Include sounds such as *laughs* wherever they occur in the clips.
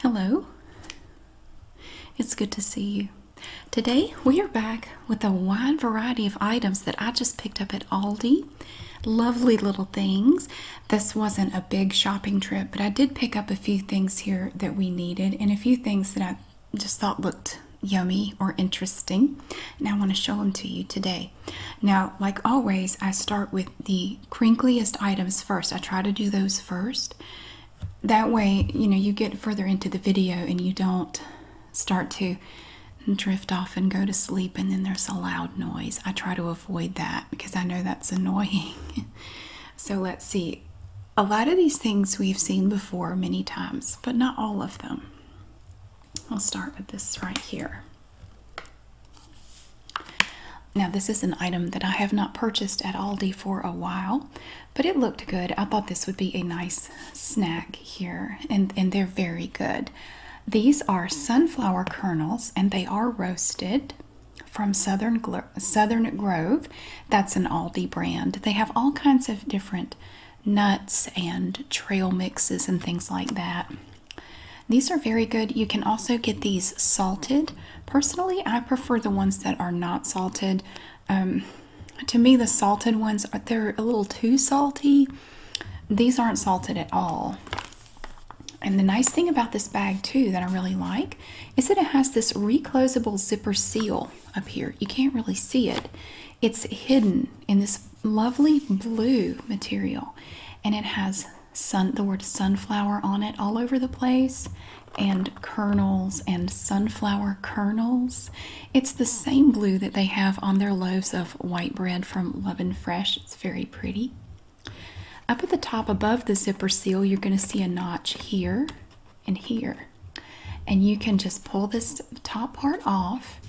Hello, it's good to see you. Today we are back with a wide variety of items that I just picked up at Aldi. Lovely little things. This wasn't a big shopping trip, but I did pick up a few things here that we needed and a few things that I just thought looked yummy or interesting. And I want to show them to you today. Now, like always, I start with the crinkliest items first. I try to do those first. That way, you know, you get further into the video and you don't start to drift off and go to sleep and then there's a loud noise. I try to avoid that because I know that's annoying. *laughs* so let's see. A lot of these things we've seen before many times, but not all of them. I'll start with this right here. Now, this is an item that I have not purchased at Aldi for a while, but it looked good. I thought this would be a nice snack here, and, and they're very good. These are sunflower kernels, and they are roasted from Southern, Southern Grove. That's an Aldi brand. They have all kinds of different nuts and trail mixes and things like that. These are very good. You can also get these salted. Personally, I prefer the ones that are not salted. Um, to me, the salted ones are uh, they're a little too salty. These aren't salted at all. And the nice thing about this bag too that I really like is that it has this reclosable zipper seal up here. You can't really see it. It's hidden in this lovely blue material and it has the word sunflower on it all over the place and kernels and sunflower kernels. It's the same blue that they have on their loaves of white bread from Love and Fresh. It's very pretty. Up at the top above the zipper seal, you're going to see a notch here and here. And you can just pull this top part off.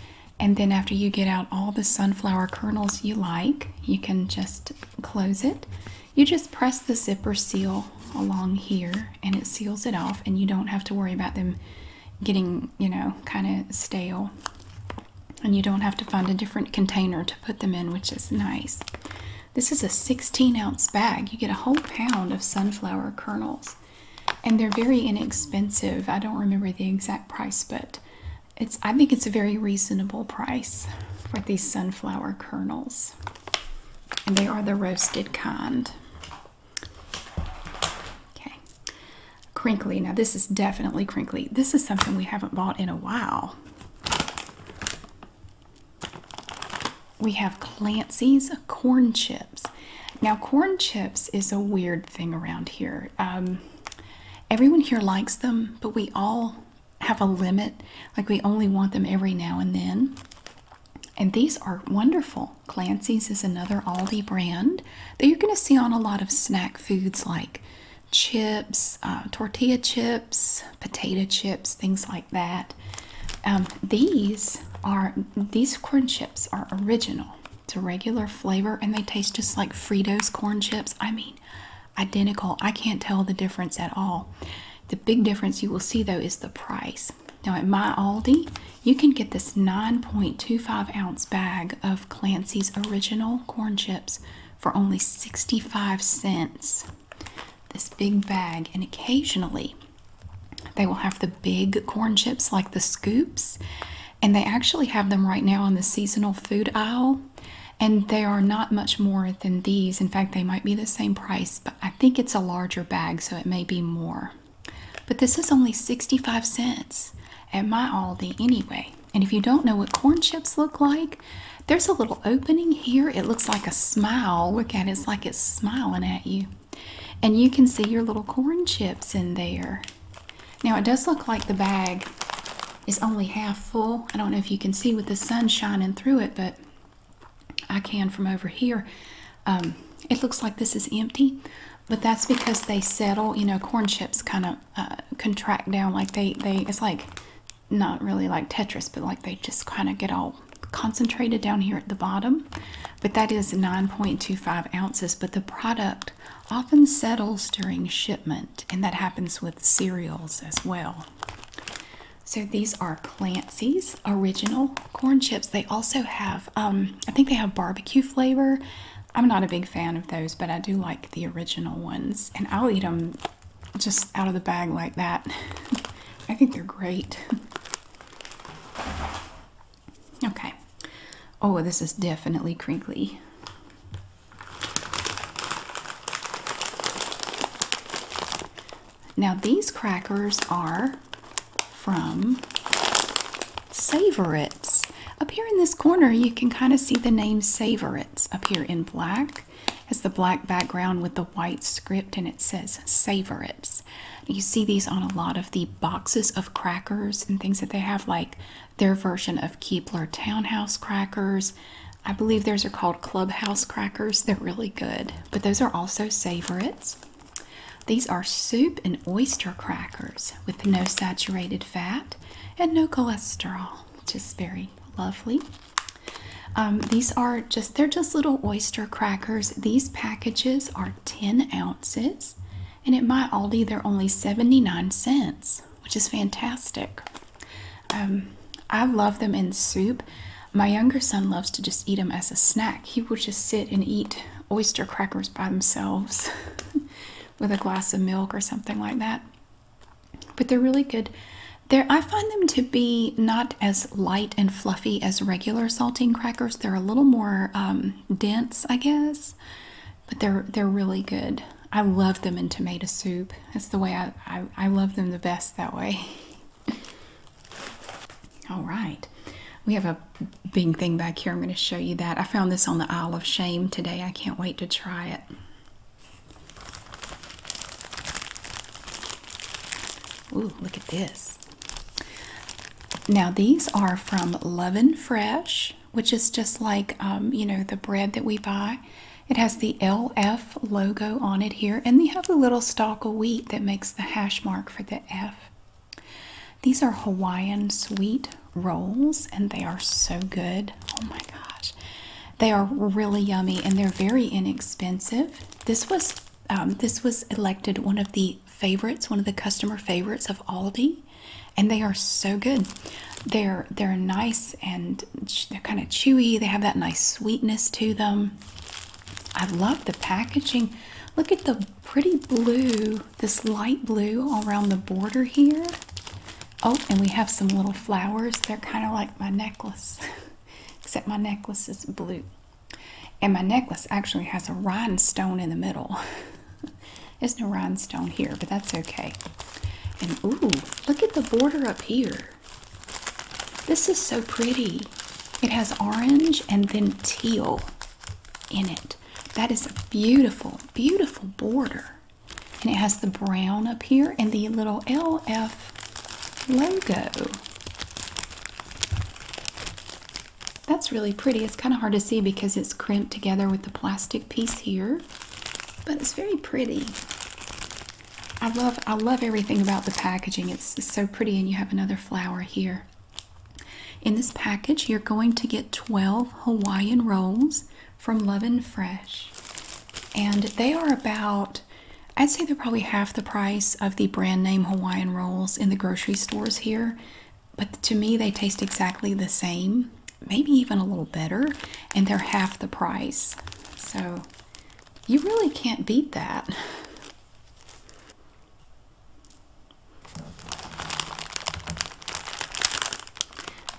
And then after you get out all the sunflower kernels you like, you can just close it you just press the zipper seal along here and it seals it off and you don't have to worry about them getting you know kind of stale and you don't have to find a different container to put them in which is nice this is a 16 ounce bag you get a whole pound of sunflower kernels and they're very inexpensive i don't remember the exact price but it's I think it's a very reasonable price for these sunflower kernels. And they are the roasted kind. Okay. Crinkly. Now this is definitely crinkly. This is something we haven't bought in a while. We have Clancy's corn chips. Now corn chips is a weird thing around here. Um, everyone here likes them, but we all have a limit, like we only want them every now and then. And these are wonderful. Clancy's is another Aldi brand that you're going to see on a lot of snack foods like chips, uh, tortilla chips, potato chips, things like that. Um, these are these corn chips are original. It's a regular flavor and they taste just like Fritos corn chips. I mean, identical. I can't tell the difference at all. The big difference you will see though is the price. Now at my Aldi, you can get this 9.25 ounce bag of Clancy's original corn chips for only 65 cents. This big bag, and occasionally they will have the big corn chips like the scoops, and they actually have them right now on the seasonal food aisle and they are not much more than these. In fact, they might be the same price, but I think it's a larger bag, so it may be more. But this is only 65 cents at my Aldi anyway. And if you don't know what corn chips look like, there's a little opening here. It looks like a smile. Look at it, it's like it's smiling at you. And you can see your little corn chips in there. Now it does look like the bag is only half full. I don't know if you can see with the sun shining through it, but I can from over here. Um, it looks like this is empty, but that's because they settle. You know, corn chips kind of uh, contract down like they they. It's like not really like Tetris, but like they just kind of get all concentrated down here at the bottom. But that is 9.25 ounces. But the product often settles during shipment and that happens with cereals as well. So these are Clancy's original corn chips. They also have, um, I think they have barbecue flavor. I'm not a big fan of those, but I do like the original ones, and I'll eat them just out of the bag like that. *laughs* I think they're great. *laughs* Okay. Oh, this is definitely crinkly. Now, these crackers are from Savorites. Up here in this corner, you can kind of see the name Savorites up here in black. as the black background with the white script, and it says Savorites. You see these on a lot of the boxes of crackers and things that they have, like their version of Keebler Townhouse crackers. I believe those are called Clubhouse crackers. They're really good, but those are also favorites. These are soup and oyster crackers with no saturated fat and no cholesterol, which is very lovely. Um, these are just, they're just little oyster crackers. These packages are 10 ounces and at my Aldi they're only 79 cents which is fantastic. Um, I love them in soup. My younger son loves to just eat them as a snack. He will just sit and eat oyster crackers by themselves *laughs* with a glass of milk or something like that. But they're really good. They're, I find them to be not as light and fluffy as regular saltine crackers. They're a little more um, dense, I guess, but they're they're really good. I love them in tomato soup. That's the way I, I, love them the best that way. *laughs* All right, we have a big thing back here. I'm going to show you that. I found this on the Isle of Shame today. I can't wait to try it. Ooh, look at this. Now, these are from Lovin' Fresh, which is just like, um, you know, the bread that we buy. It has the LF logo on it here, and they have the little stalk of wheat that makes the hash mark for the F. These are Hawaiian sweet rolls, and they are so good. Oh my gosh. They are really yummy and they're very inexpensive. This was um, this was elected one of the favorites, one of the customer favorites of Aldi, and they are so good. They're they're nice and they're kind of chewy. They have that nice sweetness to them. I love the packaging. Look at the pretty blue, this light blue all around the border here. Oh, and we have some little flowers. They're kind of like my necklace, *laughs* except my necklace is blue. And my necklace actually has a rhinestone in the middle. *laughs* There's no rhinestone here, but that's okay. And ooh, look at the border up here. This is so pretty. It has orange and then teal in it. That is a beautiful, beautiful border. And it has the brown up here and the little LF logo. That's really pretty. It's kind of hard to see because it's crimped together with the plastic piece here but it's very pretty. I love I love everything about the packaging. It's, it's so pretty, and you have another flower here. In this package, you're going to get 12 Hawaiian rolls from Love and Fresh, and they are about I'd say they're probably half the price of the brand name Hawaiian rolls in the grocery stores here, but to me, they taste exactly the same maybe even a little better, and they're half the price. So you really can't beat that.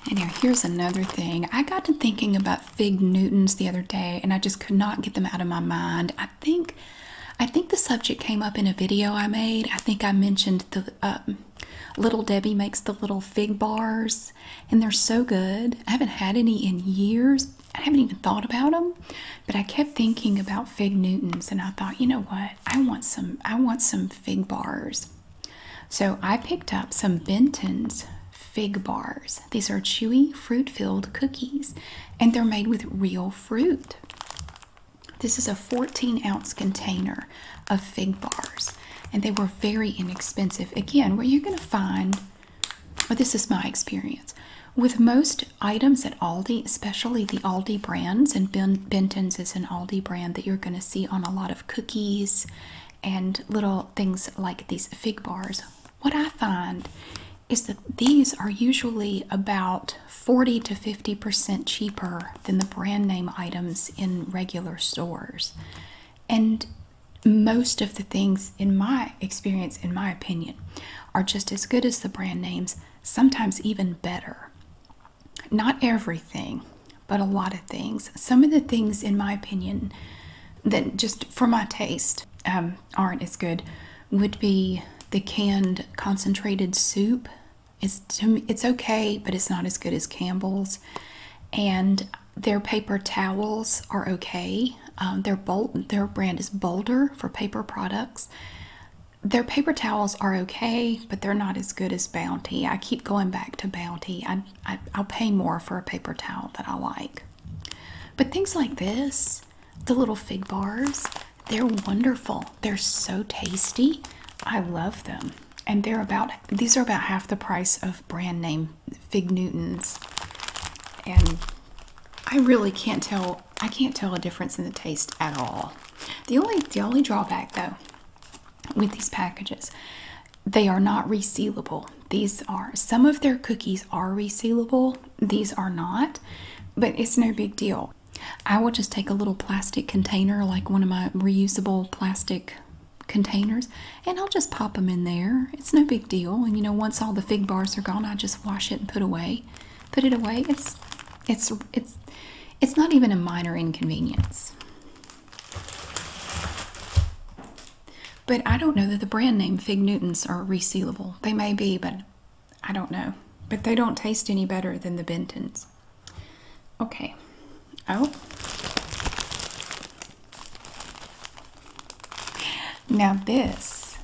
And now here's another thing. I got to thinking about fig Newtons the other day, and I just could not get them out of my mind. I think, I think the subject came up in a video I made. I think I mentioned the uh, Little Debbie makes the little fig bars, and they're so good. I haven't had any in years. I haven't even thought about them, but I kept thinking about fig Newtons, and I thought, you know what? I want some. I want some fig bars. So I picked up some Benton's fig bars. These are chewy fruit-filled cookies, and they're made with real fruit. This is a 14 ounce container of fig bars, and they were very inexpensive. Again, where you're going to find, or this is my experience, with most items at Aldi, especially the Aldi brands, and ben Benton's is an Aldi brand that you're going to see on a lot of cookies and little things like these fig bars. What I find is that these are usually about 40 to 50% cheaper than the brand name items in regular stores. And most of the things, in my experience, in my opinion, are just as good as the brand names, sometimes even better. Not everything, but a lot of things. Some of the things, in my opinion, that just for my taste um, aren't as good would be the canned concentrated soup. It's, it's okay, but it's not as good as Campbell's. And their paper towels are okay. Um, their bold their brand is Boulder for paper products. Their paper towels are okay, but they're not as good as Bounty. I keep going back to Bounty. I I'll pay more for a paper towel that I like. But things like this, the little fig bars, they're wonderful. They're so tasty. I love them and they're about these are about half the price of brand name Fig Newtons. And I really can't tell I can't tell a difference in the taste at all. The only the only drawback though with these packages, they are not resealable. These are some of their cookies are resealable, these are not, but it's no big deal. I will just take a little plastic container, like one of my reusable plastic containers and I'll just pop them in there. It's no big deal. And you know, once all the fig bars are gone, I just wash it and put away. Put it away. It's it's it's it's not even a minor inconvenience. But I don't know that the brand name Fig Newtons are resealable. They may be, but I don't know. But they don't taste any better than the Bentons. Okay, out. Oh. Now this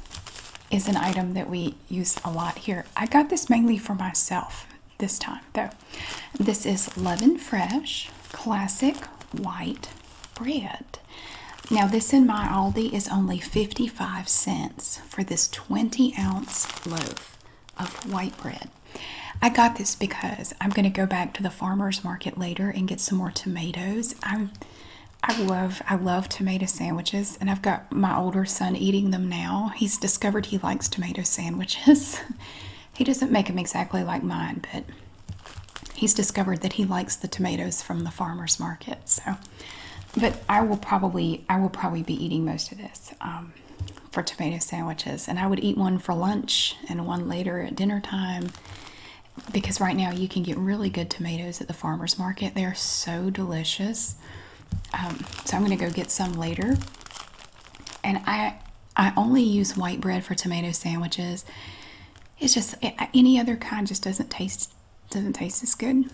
is an item that we use a lot here. I got this mainly for myself this time though. This is Leaven Fresh Classic White Bread. Now this in my Aldi is only 55 cents for this 20 ounce loaf of white bread. I got this because I'm going to go back to the farmer's market later and get some more tomatoes. I I love I love tomato sandwiches and I've got my older son eating them now. He's discovered he likes tomato sandwiches. *laughs* he doesn't make them exactly like mine, but he's discovered that he likes the tomatoes from the farmer's market. So but I will probably I will probably be eating most of this. Um, um, for tomato sandwiches, and I would eat one for lunch and one later at dinner time because right now you can get really good tomatoes at the farmer's market. They're so delicious. Um, so I'm going to go get some later. And I I only use white bread for tomato sandwiches. It's just any other kind just doesn't taste doesn't taste as good.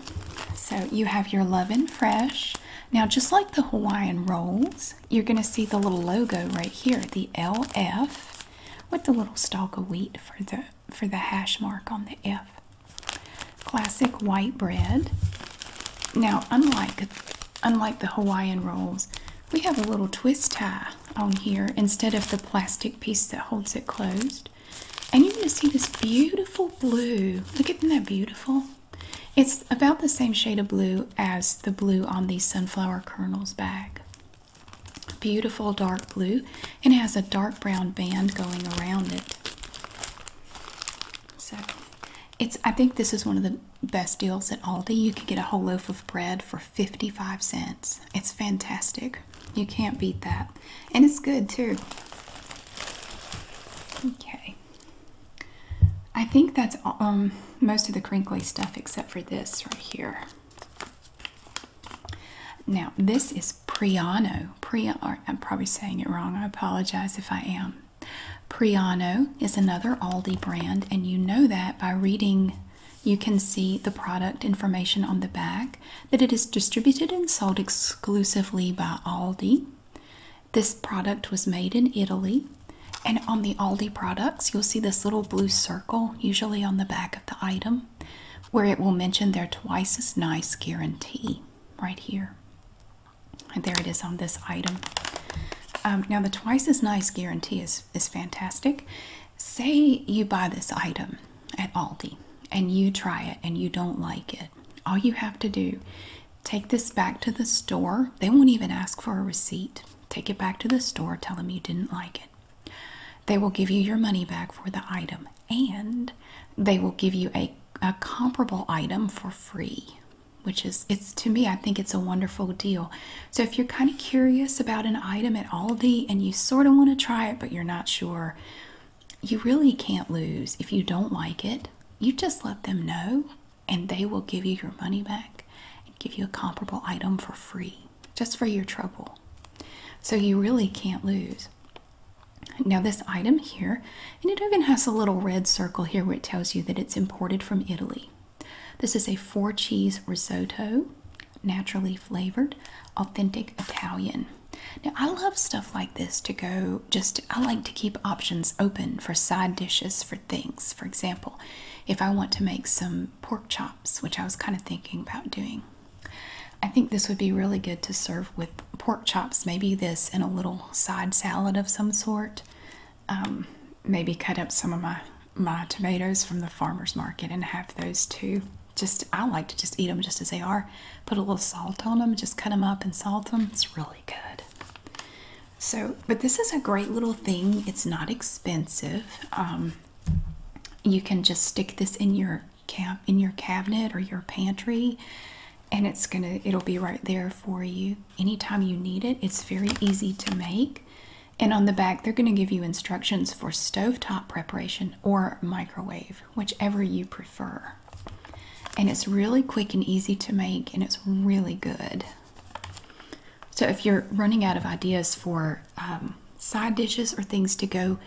So you have your lovin' fresh. Now just like the Hawaiian rolls, you're going to see the little logo right here, the LF, with the little stalk of wheat for the for the hash mark on the F. Classic white bread. Now, unlike unlike the Hawaiian rolls, we have a little twist tie on here instead of the plastic piece that holds it closed. And you're going to see this beautiful blue. Look at that beautiful. It's about the same shade of blue as the blue on the sunflower kernels bag. Beautiful dark blue and it has a dark brown band going around it. So it's I think this is one of the best deals at Aldi. You can get a whole loaf of bread for 55 cents. It's fantastic. You can't beat that. And it's good too. Okay. I think that's um, most of the crinkly stuff except for this right here. Now, this is Priano. Priano, I'm probably saying it wrong. I apologize if I am. Priano is another Aldi brand, and you know that by reading. You can see the product information on the back that it is distributed and sold exclusively by Aldi. This product was made in Italy. And on the Aldi products, you'll see this little blue circle, usually on the back of the item, where it will mention their twice as nice guarantee right here. And there it is on this item. Um, now, the twice as nice guarantee is, is fantastic. Say you buy this item at Aldi and you try it and you don't like it. All you have to do Take this back to the store. They won't even ask for a receipt. Take it back to the store. Tell them you didn't like it. They will give you your money back for the item and they will give you a, a comparable item for free which is it's to me i think it's a wonderful deal so if you're kind of curious about an item at aldi and you sort of want to try it but you're not sure you really can't lose if you don't like it you just let them know and they will give you your money back and give you a comparable item for free just for your trouble. So you really can't lose. Now, this item here, and it even has a little red circle here where it tells you that it's imported from Italy. This is a four cheese risotto, naturally flavored, authentic Italian. Now, I love stuff like this to go just, I like to keep options open for side dishes, for things. For example, if I want to make some pork chops, which I was kind of thinking about doing, I think this would be really good to serve with pork chops, maybe this and a little side salad of some sort. Um, maybe cut up some of my my tomatoes from the farmer's market and have those too. Just I like to just eat them just as they are. Put a little salt on them, just cut them up and salt them. It's really good. So, but this is a great little thing. It's not expensive. Um, you can just stick this in your camp in your cabinet or your pantry, and it's gonna it'll be right there for you anytime you need it. It's very easy to make. And on the back, they're going to give you instructions for stove top preparation or microwave, whichever you prefer. And it's really quick and easy to make, and it's really good. So, if you're running out of ideas for um, side dishes or things to go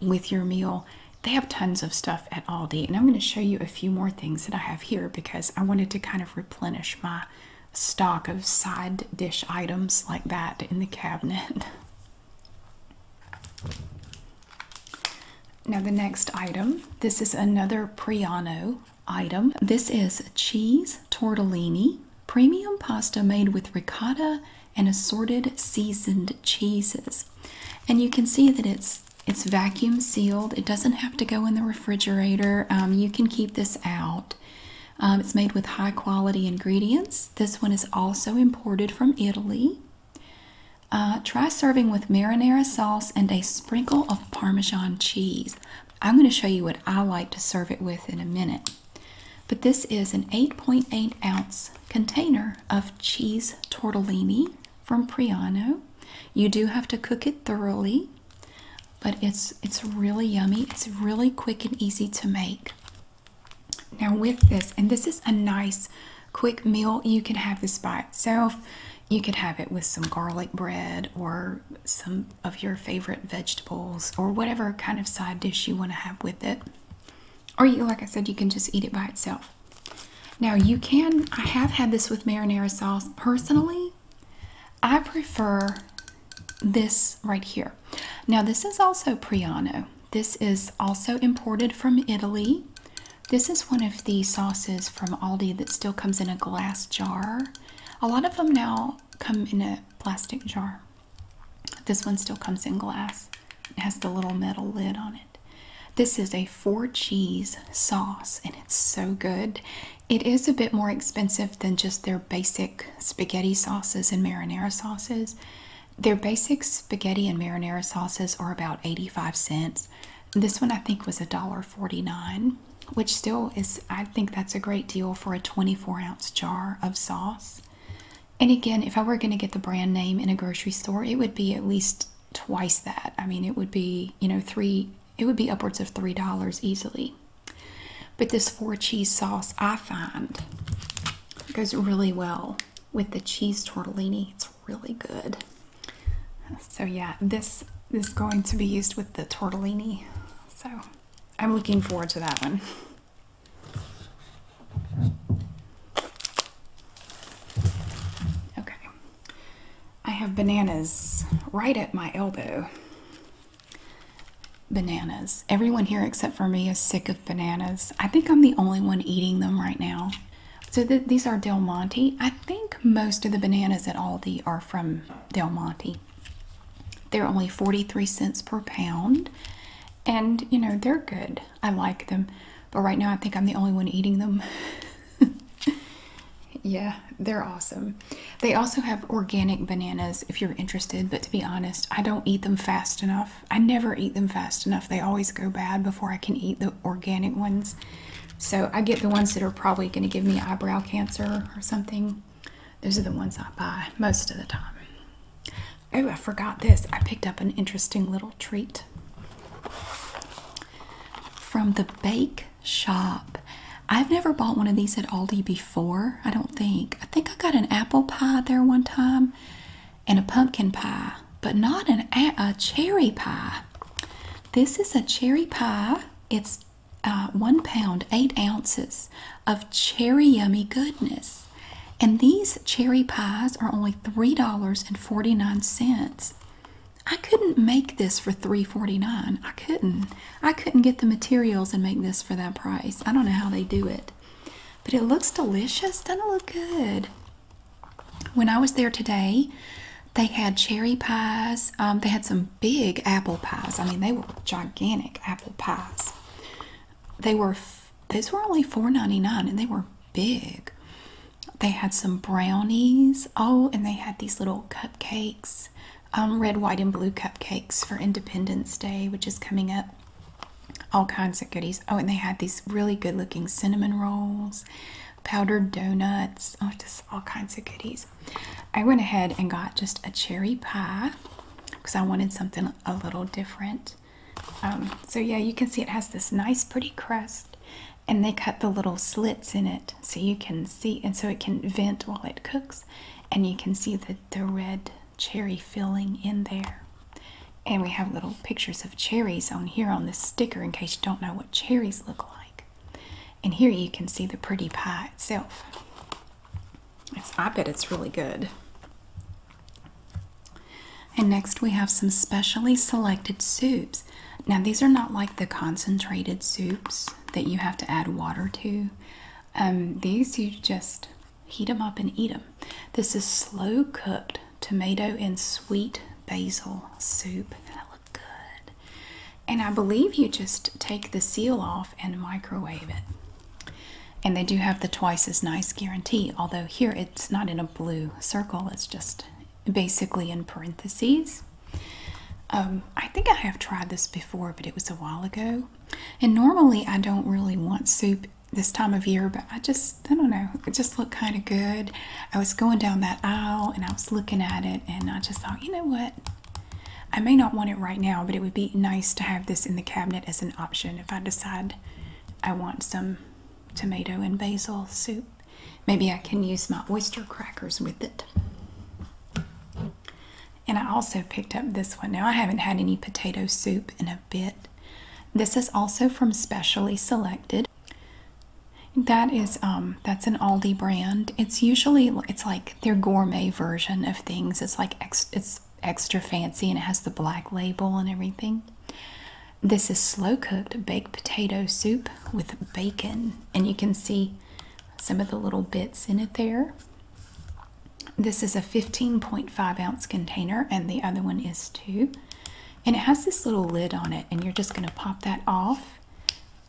with your meal, they have tons of stuff at Aldi. And I'm going to show you a few more things that I have here because I wanted to kind of replenish my stock of side dish items like that in the cabinet. *laughs* Now, the next item this is another Priano item. This is cheese tortellini, premium pasta made with ricotta and assorted seasoned cheeses. And you can see that it's it's vacuum sealed. It doesn't have to go in the refrigerator. Um, you can keep this out. Um, it's made with high quality ingredients. This one is also imported from Italy. Uh, try serving with marinara sauce and a sprinkle of Parmesan cheese. I'm going to show you what I like to serve it with in a minute. But this is an 8.8 ounce container of cheese tortellini from Priano. You do have to cook it thoroughly, but it's it's really yummy. It's really quick and easy to make. Now with this, and this is a nice quick meal you can have this by itself you could have it with some garlic bread or some of your favorite vegetables or whatever kind of side dish you want to have with it. Or you like I said you can just eat it by itself. Now you can I have had this with marinara sauce personally. I prefer this right here. Now this is also Priano. This is also imported from Italy. This is one of the sauces from Aldi that still comes in a glass jar. A lot of them now come in a plastic jar. This one still comes in glass. It has the little metal lid on it. This is a four cheese sauce and it's so good. It is a bit more expensive than just their basic spaghetti sauces and marinara sauces. Their basic spaghetti and marinara sauces are about 85 cents. This one I think was a dollar forty-nine, which still is, I think that's a great deal for a 24 ounce jar of sauce. And again, if I were going to get the brand name in a grocery store, it would be at least twice that. I mean, it would be, you know, three, it would be upwards of $3 easily. But this four cheese sauce, I find, goes really well with the cheese tortellini. It's really good. So yeah, this is going to be used with the tortellini. So I'm looking forward to that one. Okay. I have bananas right at my elbow. Bananas. Everyone here except for me is sick of bananas. I think I'm the only one eating them right now. So these are Del Monte. I think most of the bananas at Aldi are from Del Monte. They're only 43 cents per pound. And you know, they're good. I like them. But right now, I think I'm the only one eating them. *laughs* yeah, they're awesome. They also have organic bananas if you're interested. But to be honest, I don't eat them fast enough. I never eat them fast enough. They always go bad before I can eat the organic ones. So I get the ones that are probably going to give me eyebrow cancer or something. Those are the ones I buy most of the time. Oh, I forgot this. I picked up an interesting little treat from the bake shop. I've never bought one of these at Aldi before, I don't think. I think I got an apple pie there one time and a pumpkin pie, but not an a, cherry pie. This is a cherry pie. It's uh, one pound, eight ounces of cherry yummy goodness. And these cherry pies are only $3.49. I couldn't make this for three forty nine. I couldn't. I couldn't get the materials and make this for that price. I don't know how they do it. But it looks delicious. Doesn't it look good? When I was there today, they had cherry pies. Um, they had some big apple pies. I mean, they were gigantic apple pies. They were these were only $4.99 and they were big. They had some brownies. Oh, and they had these little cupcakes, um, red, white, and blue cupcakes for Independence Day, which is coming up. All kinds of goodies. Oh, and they had these really good looking cinnamon rolls powdered donuts, oh, just all kinds of goodies. I went ahead and got just a cherry pie because I wanted something a little different. Um, so yeah, you can see it has this nice pretty crust and they cut the little slits in it so you can see and so it can vent while it cooks and you can see the, the red cherry filling in there. And we have little pictures of cherries on here on this sticker in case you don't know what cherries look like. And here you can see the pretty pie itself. I bet it's really good. And next we have some specially selected soups. Now these are not like the concentrated soups that you have to add water to. Um, these you just heat them up and eat them. This is slow cooked tomato and sweet basil soup good. And I believe you just take the seal off and microwave it. And they do have the twice as nice guarantee, although here it's not in a blue circle, it's just basically in parentheses. Um, I think I have tried this before, but it was a while ago. And normally I don't really want soup this time of year, but I just, I don't know, it just looked kind of good. I was going down that aisle and I was looking at it, and I just thought, you know what? I may not want it right now, but it would be nice to have this in the cabinet as an option if I decide I want some tomato and basil soup. Maybe I can use my oyster crackers with it. And I also picked up this one. Now, I haven't had any potato soup in a bit. This is also from Specially Selected. That is um that's an Aldi brand. It's usually it's like their gourmet version of things. It's like ex, it's extra fancy and it has the black label and everything. This is slow cooked baked potato soup with bacon and you can see some of the little bits in it there. This is a 15.5 ounce container and the other one is two. And it has this little lid on it and you're just going to pop that off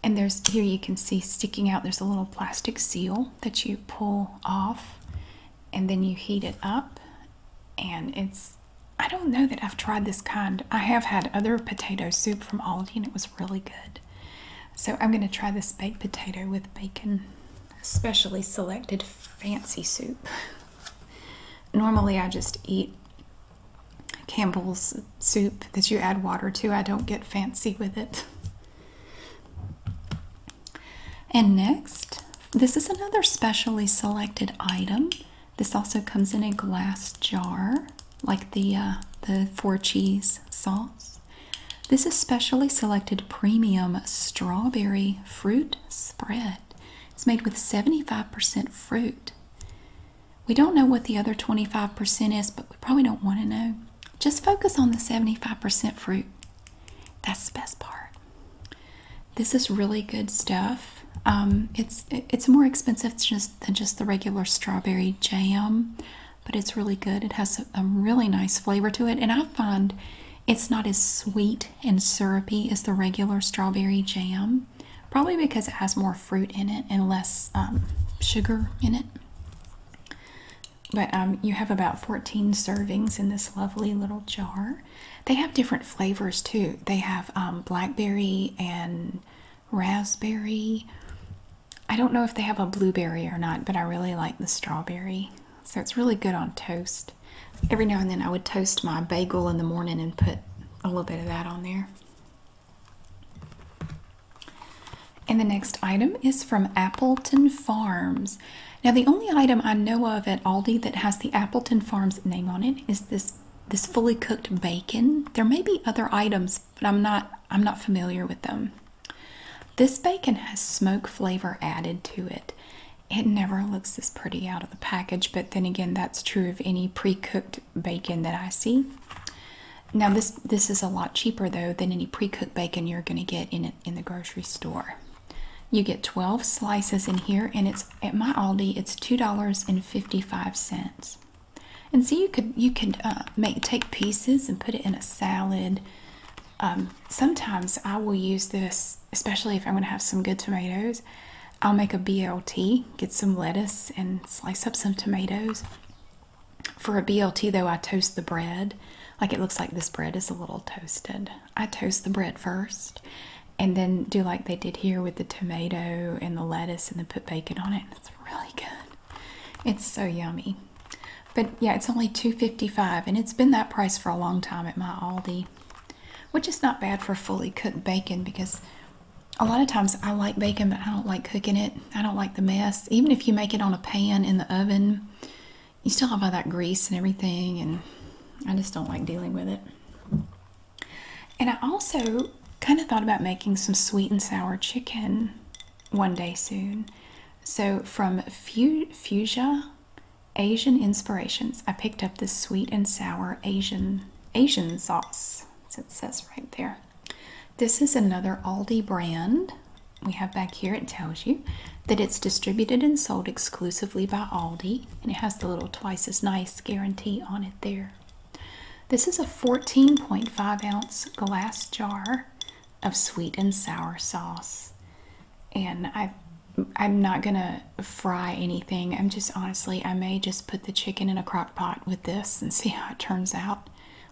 and there's here you can see sticking out there's a little plastic seal that you pull off and then you heat it up and it's I don't know that I've tried this kind. I have had other potato soup from Aldi and it was really good. So I'm going to try this baked potato with bacon, specially selected fancy soup. *laughs* Normally I just eat Campbell's soup that you add water to. I don't get fancy with it. And next, this is another specially selected item. This also comes in a glass jar, like the uh, the four cheese sauce. This is specially selected premium strawberry fruit spread. It's made with 75% fruit. We don't know what the other 25% is, but we probably don't want to know. Just focus on the 75% fruit. That's the best part. This is really good stuff. Um, it's it's more expensive than just the regular strawberry jam, but it's really good. It has a really nice flavor to it, and I find it's not as sweet and syrupy as the regular strawberry jam probably because it has more fruit in it and less um, sugar in it. But um, you have about 14 servings in this lovely little jar. They have different flavors too. They have um, blackberry and raspberry. I don't know if they have a blueberry or not, but I really like the strawberry. So it's really good on toast. Every now and then I would toast my bagel in the morning and put a little bit of that on there. And the next item is from Appleton Farms. Now, the only item I know of at Aldi that has the Appleton Farms name on it is this this fully cooked bacon. There may be other items, but I'm not I'm not familiar with them. This bacon has smoke flavor added to it. It never looks this pretty out of the package, but then again, that's true of any pre-cooked bacon that I see. Now this this is a lot cheaper though than any pre-cooked bacon you're going to get in it in the grocery store. You get 12 slices in here and it's at my Aldi it's $2.55. And see, you could you could uh, make take pieces and put it in a salad. Um, sometimes I will use this, especially if I'm going to have some good tomatoes. I'll make a BLT, get some lettuce and slice up some tomatoes. For a BLT, though, I toast the bread. Like it looks like this bread is a little toasted. I toast the bread first and then do like they did here with the tomato and the lettuce and then put bacon on it. It's really good. It's so yummy. But yeah, it's only two fifty-five, and it's been that price for a long time at my Aldi, which is not bad for fully cooked bacon because a lot of times I like bacon, but I don't like cooking it. I don't like the mess. Even if you make it on a pan in the oven, you still have all that grease and everything, and I just don't like dealing with it. And I also kind of thought about making some sweet and sour chicken one day soon. So from Fuchsia Asian Inspirations, I picked up this sweet and sour Asian Asian sauce. It says right there. This is another Aldi brand. We have back here, it tells you that it's distributed and sold exclusively by Aldi, and it has the little twice as nice guarantee on it there. This is a 14.5 ounce glass jar of sweet and sour sauce. And I, I'm not gonna fry anything. I'm just honestly, I may just put the chicken in a crock pot with this and *laughs* see how it turns out.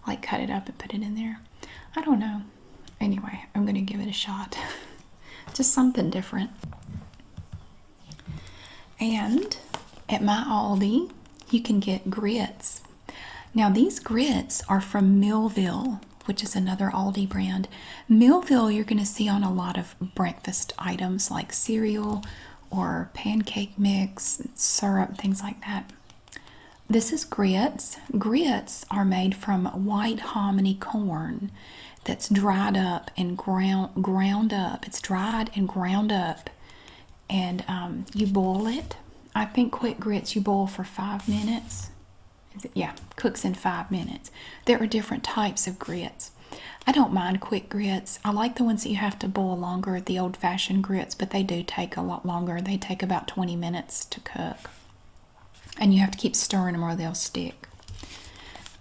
Like cut it up and put it in there. I don't know. Anyway, I'm going to give it a shot. *laughs* just something different. And at my Aldi, you can get grits. Now, these grits are from Millville, which is another Aldi brand. Millville, you're going to see on a lot of breakfast items like cereal, or pancake mix, syrup, things like that. This is grits. Grits are made from white hominy corn that's dried up and ground ground up. It's dried and ground up, and um, you boil it. I think quick grits you boil for five minutes. Yeah, cooks in five minutes. There are different types of grits. I don't mind quick grits. I like the ones that you have to boil longer, the old fashioned grits, but they do take a lot longer. They take about 20 minutes to cook. And you have to keep stirring them or they'll stick.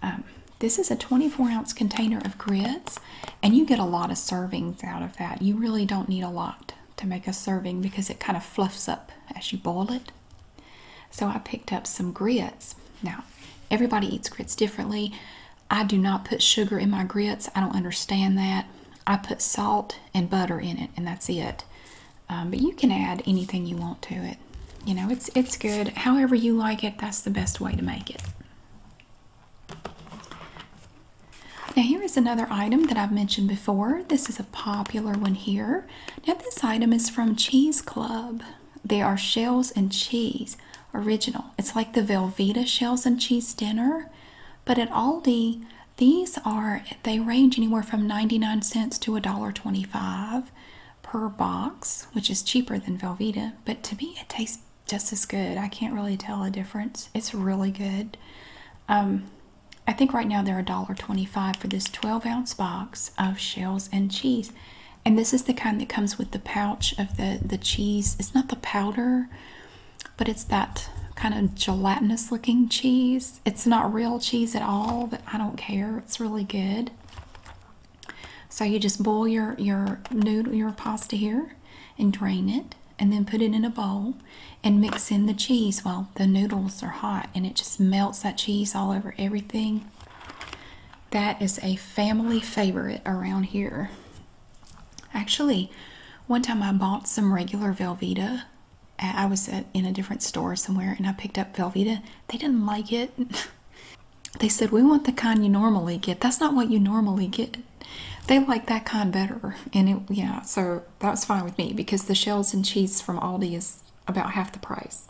Um, this is a 24 ounce container of grits, and you get a lot of servings out of that. You really don't need a lot to make a serving because it kind of fluffs up as you boil it. So I picked up some grits. Now, everybody eats grits differently. I do not put sugar in my grits. I don't understand that. I put salt and butter in it, and that's it. Um, but you can add anything you want to it. You know, it's it's good. However you like it, that's the best way to make it. Now here is another item that I've mentioned before. This is a popular one here. Now this item is from Cheese Club. They are shells and cheese original. It's like the Velveeta shells and cheese dinner, but at Aldi, these are they range anywhere from 99 cents to a dollar 25 per box, which is cheaper than Velveeta, but to me it tastes just as good. I can't really tell a difference. It's really good. Um, I think right now they're a dollar 25 for this 12 ounce box of shells and cheese and this is the kind that comes with the pouch of the the cheese it's not the powder but it's that kind of gelatinous looking cheese it's not real cheese at all but i don't care it's really good so you just boil your your noodle your pasta here and drain it and then put it in a bowl and mix in the cheese while the noodles are hot and it just melts that cheese all over everything that is a family favorite around here Actually, one time I bought some regular Velveeta. I was in a different store somewhere and I picked up Velveeta. They didn't like it. *laughs* they said, We want the kind you normally get. That's not what you normally get. They like that kind better. And yeah, so that was fine with me because the shells and cheese from Aldi is about half the price.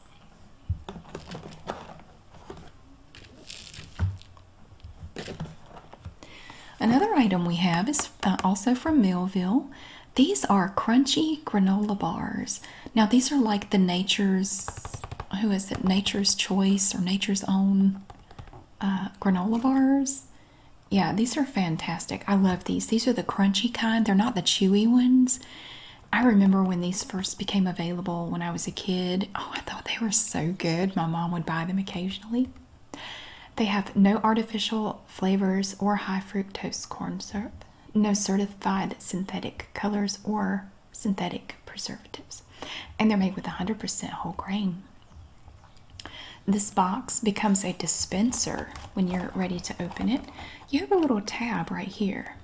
Another item we have is uh, also from Millville. These are crunchy granola bars. Now these are like the Nature's, who is it? Nature's Choice or Nature's Own uh, granola bars. Yeah, these are fantastic. I love these. These are the crunchy kind. They're not the chewy ones. I remember when these first became available when I was a kid. Oh, I they were so good. My mom would buy them occasionally. They have no artificial flavors or high fructose corn syrup, no certified synthetic colors or synthetic preservatives, and they're made with 100% whole grain. This box becomes a dispenser when you're ready to open it. You have a little tab right here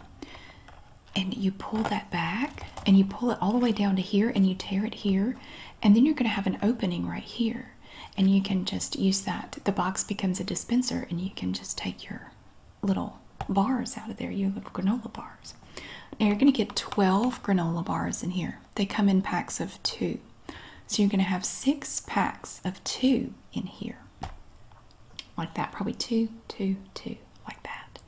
and you pull that back and you pull it all the way down to here and you tear it here and then you're going to have an opening right here and you can just use that the box becomes a dispenser and you can just take your little bars out of there your little granola bars now you're going to get 12 granola bars in here they come in packs of two so you're going to have six packs of two in here like that probably two two two like that.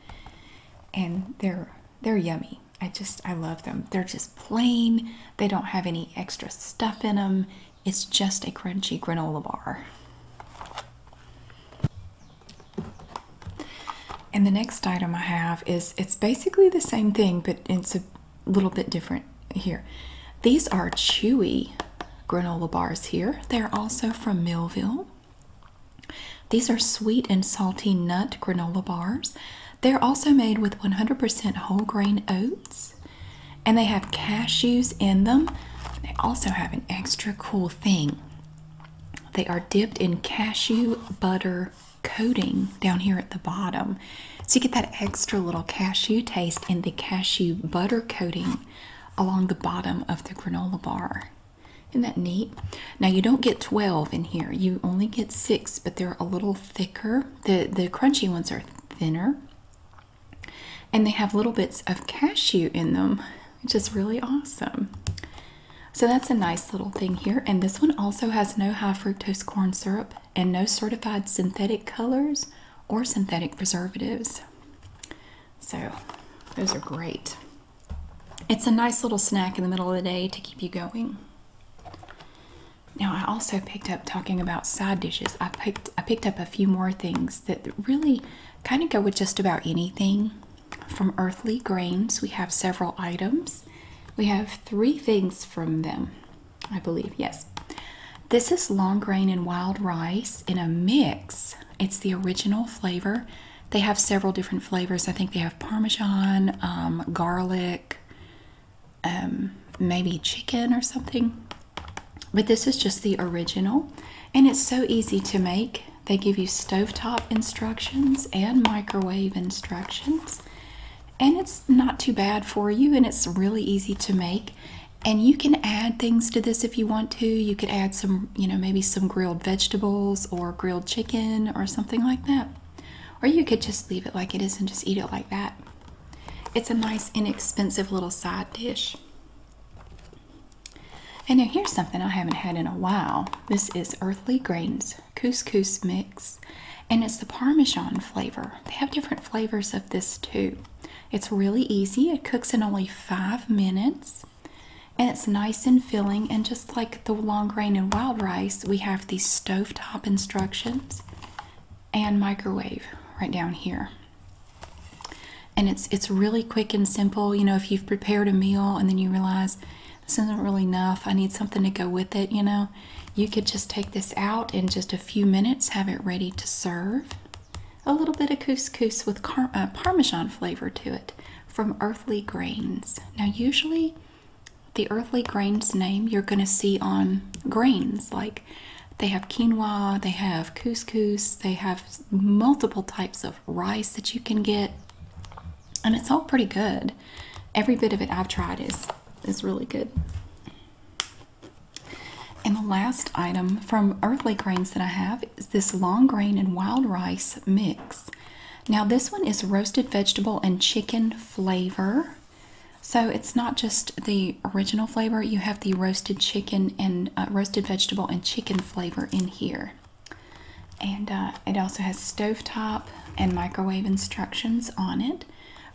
And they're they're yummy. I just I love them. They're just plain. They don't have any extra stuff in them. It's just a crunchy granola bar. And the next item I have is it's basically the same thing, but it's a little bit different here. These are chewy granola bars here. They're also from Millville. These are sweet and salty nut granola bars. They're also made with 100% whole grain oats and they have cashews in them. They also have an extra cool thing. They are dipped in cashew butter coating down here at the bottom. So you get that extra little cashew taste in the cashew butter coating along the bottom of the granola bar. Isn't that neat? Now you don't get 12 in here. You only get six, but they're a little thicker. The the crunchy ones are thinner. And they have little bits of cashew in them, which is really awesome. So that's a nice little thing here. And this one also has no high fructose corn syrup and no certified synthetic colors or synthetic preservatives. So those are great. It's a nice little snack in the middle of the day to keep you going. Now I also picked up talking about side dishes. I picked I picked up a few more things that really kind of go with just about anything. From earthly grains, we have several items. We have three things from them, I believe. Yes. This is long grain and wild rice in a mix. It's the original flavor they have several different flavors. I think they have parmesan, um, garlic, um, maybe chicken or something. But this is just the original, and it's so easy to make. They give you stovetop instructions and microwave instructions. And it's not too bad for you, and it's really easy to make. And you can add things to this if you want to. You could add some you know, maybe some grilled vegetables or grilled chicken or something like that. Or you could just leave it like it is and just eat it like that. It's a nice, inexpensive little side dish. And now here's something I haven't had in a while. This is Earthly Grains Couscous Mix, and it's the Parmesan flavor. They have different flavors of this too. It's really easy. It cooks in only five minutes. And it's nice and filling, and just like the long grain and wild rice, we have the stovetop instructions and microwave right down here. And it's it's really quick and simple. You know, if you've prepared a meal and then you realize this isn't really enough, I need something to go with it, you know, you could just take this out in just a few minutes, have it ready to serve. A little bit of couscous with uh, parmesan flavor to it from earthly grains. Now, usually the earthly grains name you're going to see on grains like they have quinoa, they have couscous, they have multiple types of rice that you can get, and it's all pretty good. Every bit of it I've tried is is really good. And the last item from Earthly Grains that I have is this long grain and wild rice mix. Now, this one is roasted vegetable and chicken flavor. So it's not just the original flavor, you have the roasted chicken and uh, roasted vegetable and chicken flavor in here. And uh, it also has stove top and microwave instructions on it.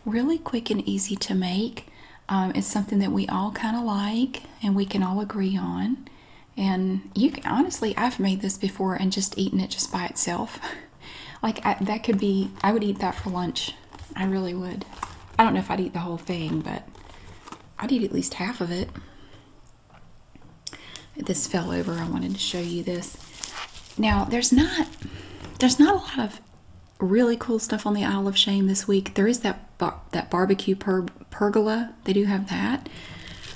Really quick and easy to make. Um, it's something that we all kind of like and we can all agree on and you can, honestly i've made this before and just eaten it just by itself *laughs* like that could be i would eat that for lunch i really would i don't know if i'd eat the whole thing but i'd eat at least half of it this fell over i wanted to show you this now there's not there's not a lot of really cool stuff on the isle of shame this week there is that that barbecue pub pergola. They do have that.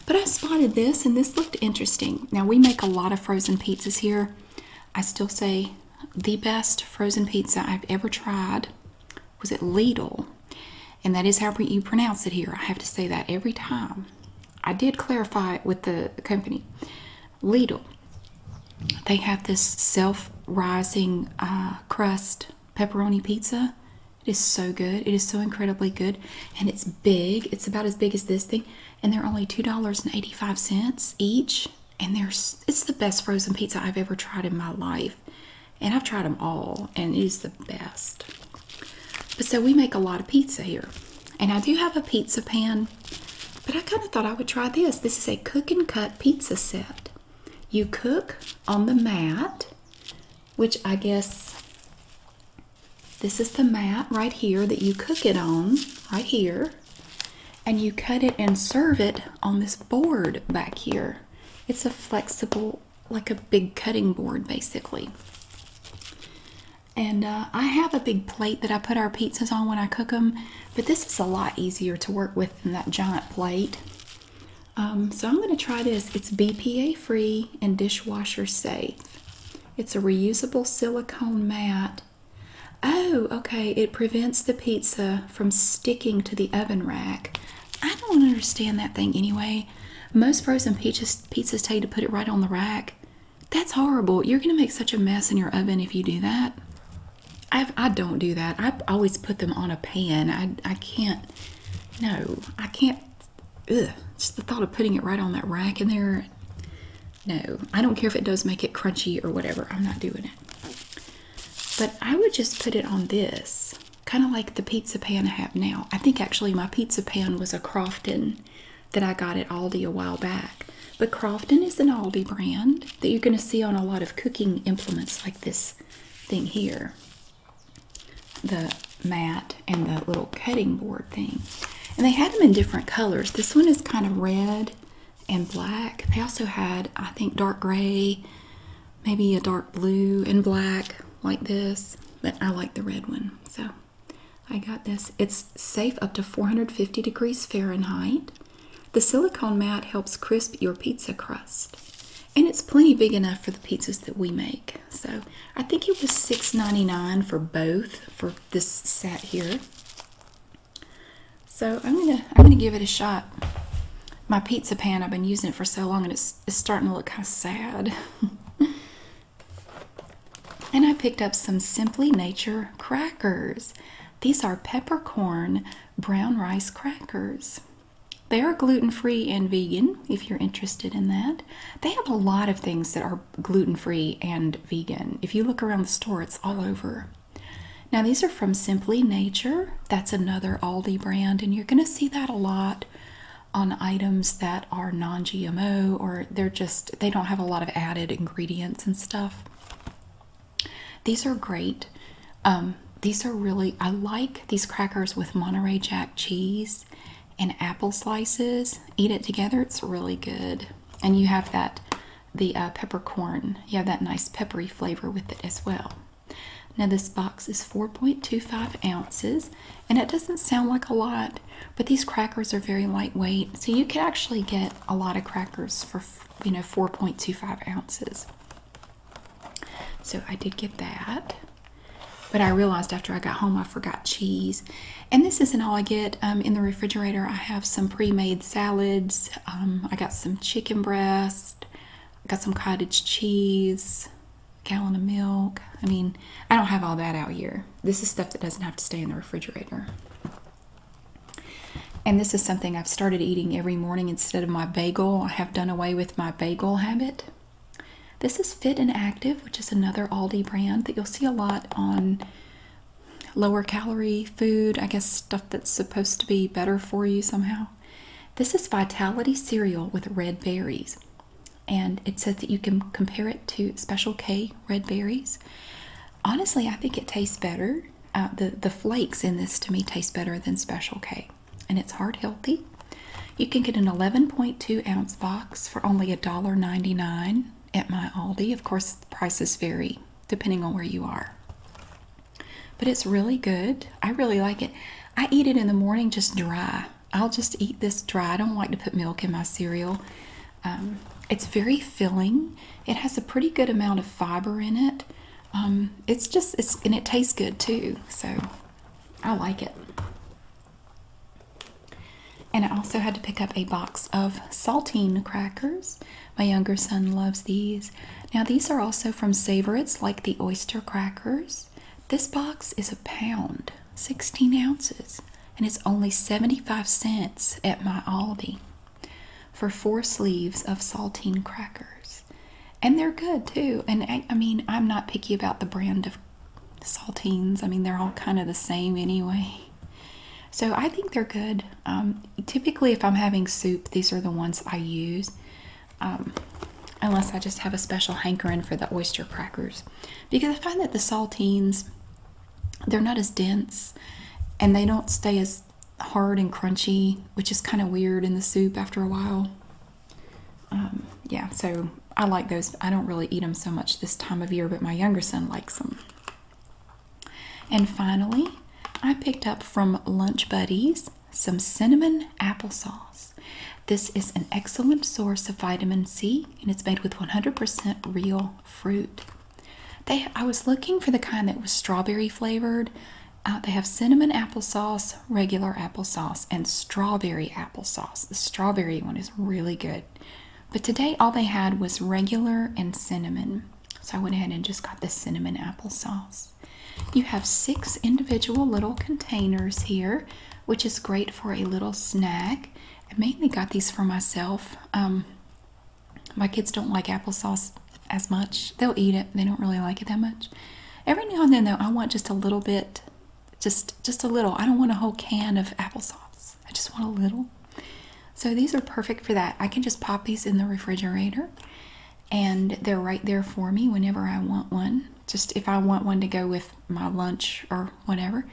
But I spotted this and this looked interesting. Now we make a lot of frozen pizzas here. I still say the best frozen pizza I've ever tried was at Lidl. And that is how you pronounce it here. I have to say that every time. I did clarify with the company. Lidl. They have this self-rising uh, crust pepperoni pizza. It is so good. It is so incredibly good. And it's big. It's about as big as this thing. And they're only $2.85 each. And there's it's the best frozen pizza I've ever tried in my life. And I've tried them all. And it is the best. But so we make a lot of pizza here. And I do have a pizza pan. But I kind of thought I would try this. This is a cook and cut pizza set. You cook on the mat which I guess this is the mat right here that you cook it on, right here. And you cut it and serve it on this board back here. It's a flexible, like a big cutting board basically. And uh, I have a big plate that I put our pizzas on when I cook them, but this is a lot easier to work with than that giant plate. Um, so I'm going to try this. It's BPA free and dishwasher safe. It's a reusable silicone mat. Oh, okay. It prevents the pizza from sticking to the oven rack. I don't understand that thing anyway. Most frozen pizzas, pizzas tell you to put it right on the rack. That's horrible. You're going to make such a mess in your oven if you do that. I've, I i do not do that. I always put them on a pan. I, I can't, no, I can't ugh, just the thought of putting it right on that rack in there. No, I don't care if it does make it crunchy or whatever. I'm not doing it. But I would just put it on this, kind of like the pizza pan I have now. I think actually my pizza pan was a Crofton that I got at Aldi a while back. But Crofton is an Aldi brand that you're going to see on a lot of cooking implements like this thing here the mat and the little cutting board thing. And they had them in different colors. This one is kind of red and black. They also had, I think, dark gray, maybe a dark blue and black like this. But I like the red one. So I got this. It's safe up to 450 degrees Fahrenheit. The silicone mat helps crisp your pizza crust and it's plenty big enough for the pizzas that we make. So I think it was six ninety nine for both for this set here. So I'm gonna I'm gonna give it a shot. My pizza pan I've been using it for so long and it's starting to look kind of sad. *laughs* and I picked up some Simply Nature crackers. These are peppercorn brown rice crackers. They are gluten free and vegan if you're interested in that. They have a lot of things that are gluten free and vegan. If you look around the store, it's all over. Now, these are from Simply Nature. That's another Aldi brand, and you're going to see that a lot on items that are non GMO or they're just, they don't have a lot of added ingredients and stuff. These are great. Um, these are really, I like these crackers with Monterey Jack cheese and apple slices. Eat it together, it's really good. And you have that, the uh, peppercorn, you have that nice peppery flavor with it as well. Now, this box is 4.25 ounces, and it doesn't sound like a lot, but these crackers are very lightweight, so you can actually get a lot of crackers for you know 4.25 ounces. So I did get that. But I realized after I got home I forgot cheese. And this isn't all I get. Um, in the refrigerator, I have some pre made salads. Um, I got some chicken breast. I got some cottage cheese, a gallon of milk. I mean, I don't have all that out here. This is stuff that doesn't have to stay in the refrigerator. And this is something I've started eating every morning instead of my bagel. I have done away with my bagel habit. This is Fit and Active, which is another Aldi brand that you'll see a lot on lower calorie food, I guess stuff that's supposed to be better for you somehow. This is Vitality Cereal with red berries, and it says that you can compare it to Special K red berries. Honestly, I think it tastes better. Uh, the the flakes in this to me taste better than Special K and it's heart healthy. You can get an 11.2 ounce box for only $1.99 at my Aldi. Of course, prices vary depending on where you are. But it's really good. I really like it. I eat it in the morning just dry. I'll just eat this dry. I don't like to put milk in my cereal. Um, it's very filling. It has a pretty good amount of fiber in it. Um, it's just, it's, and it tastes good too. So I like it. And I also had to pick up a box of saltine crackers. My younger son loves these. Now, these are also from Savorites, like the oyster crackers. This box is a pound, 16 ounces, and it's only 75 cents at my Aldi for four sleeves of saltine crackers. And they're good too. And I, mean, I'm not picky about the brand of saltines. I mean, they're all kind of the same anyway. So I think they're good. Um, typically, if I'm having soup, these are the ones I use. Um, unless I just have a special hankering for the oyster crackers. Because I find that the saltines, they're not as dense and they don't stay as hard and crunchy, which is kind of weird in the soup after a while. Um, yeah, so I like those. I don't really eat them so much this time of year, but my younger son likes them. And finally, I picked up from Lunch Buddies some cinnamon applesauce. This is an excellent source of vitamin C and it's made with 100% real fruit. They, I was looking for the kind that was strawberry flavored. Uh, they have cinnamon applesauce, regular applesauce and strawberry applesauce. The strawberry one is really good. But today all they had was regular and cinnamon. So I went ahead and just got the cinnamon applesauce. You have six individual little containers here, which is great for a little snack. I mainly got these for myself. Um, my kids don't like applesauce as much. They'll eat it. They don't really like it that much. Every now and then though, I want just a little bit just just a little. I don't want a whole can of applesauce. I just want a little. So these are perfect for that. I can just pop these in the refrigerator and they're right there for me whenever I want one. Just if I want one to go with my lunch or whatever.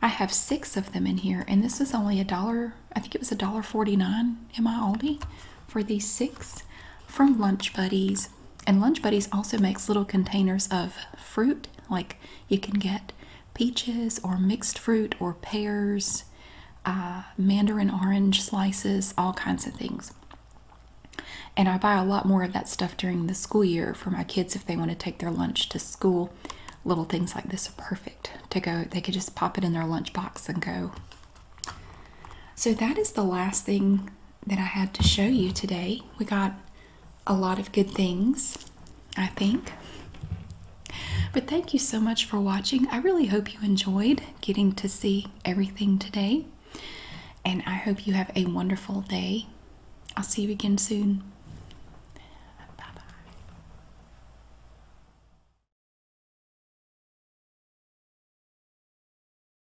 I have six of them in here, and this was only a dollar, I think it was a dollar forty-nine in my Aldi for these six from Lunch Buddies and Lunch Buddies also makes little containers of fruit, like you can get peaches or mixed fruit or pears, uh, mandarin orange slices, all kinds of things. And I buy a lot more of that stuff during the school year for my kids if they want to take their lunch to school. Little things like this are perfect to go. They could just pop it in their lunch box and go. So that is the last thing that I had to show you today. We got a lot of good things, I think. But thank you so much for watching. I really hope you enjoyed getting to see everything today. And I hope you have a wonderful day. I'll see you again soon. Bye bye.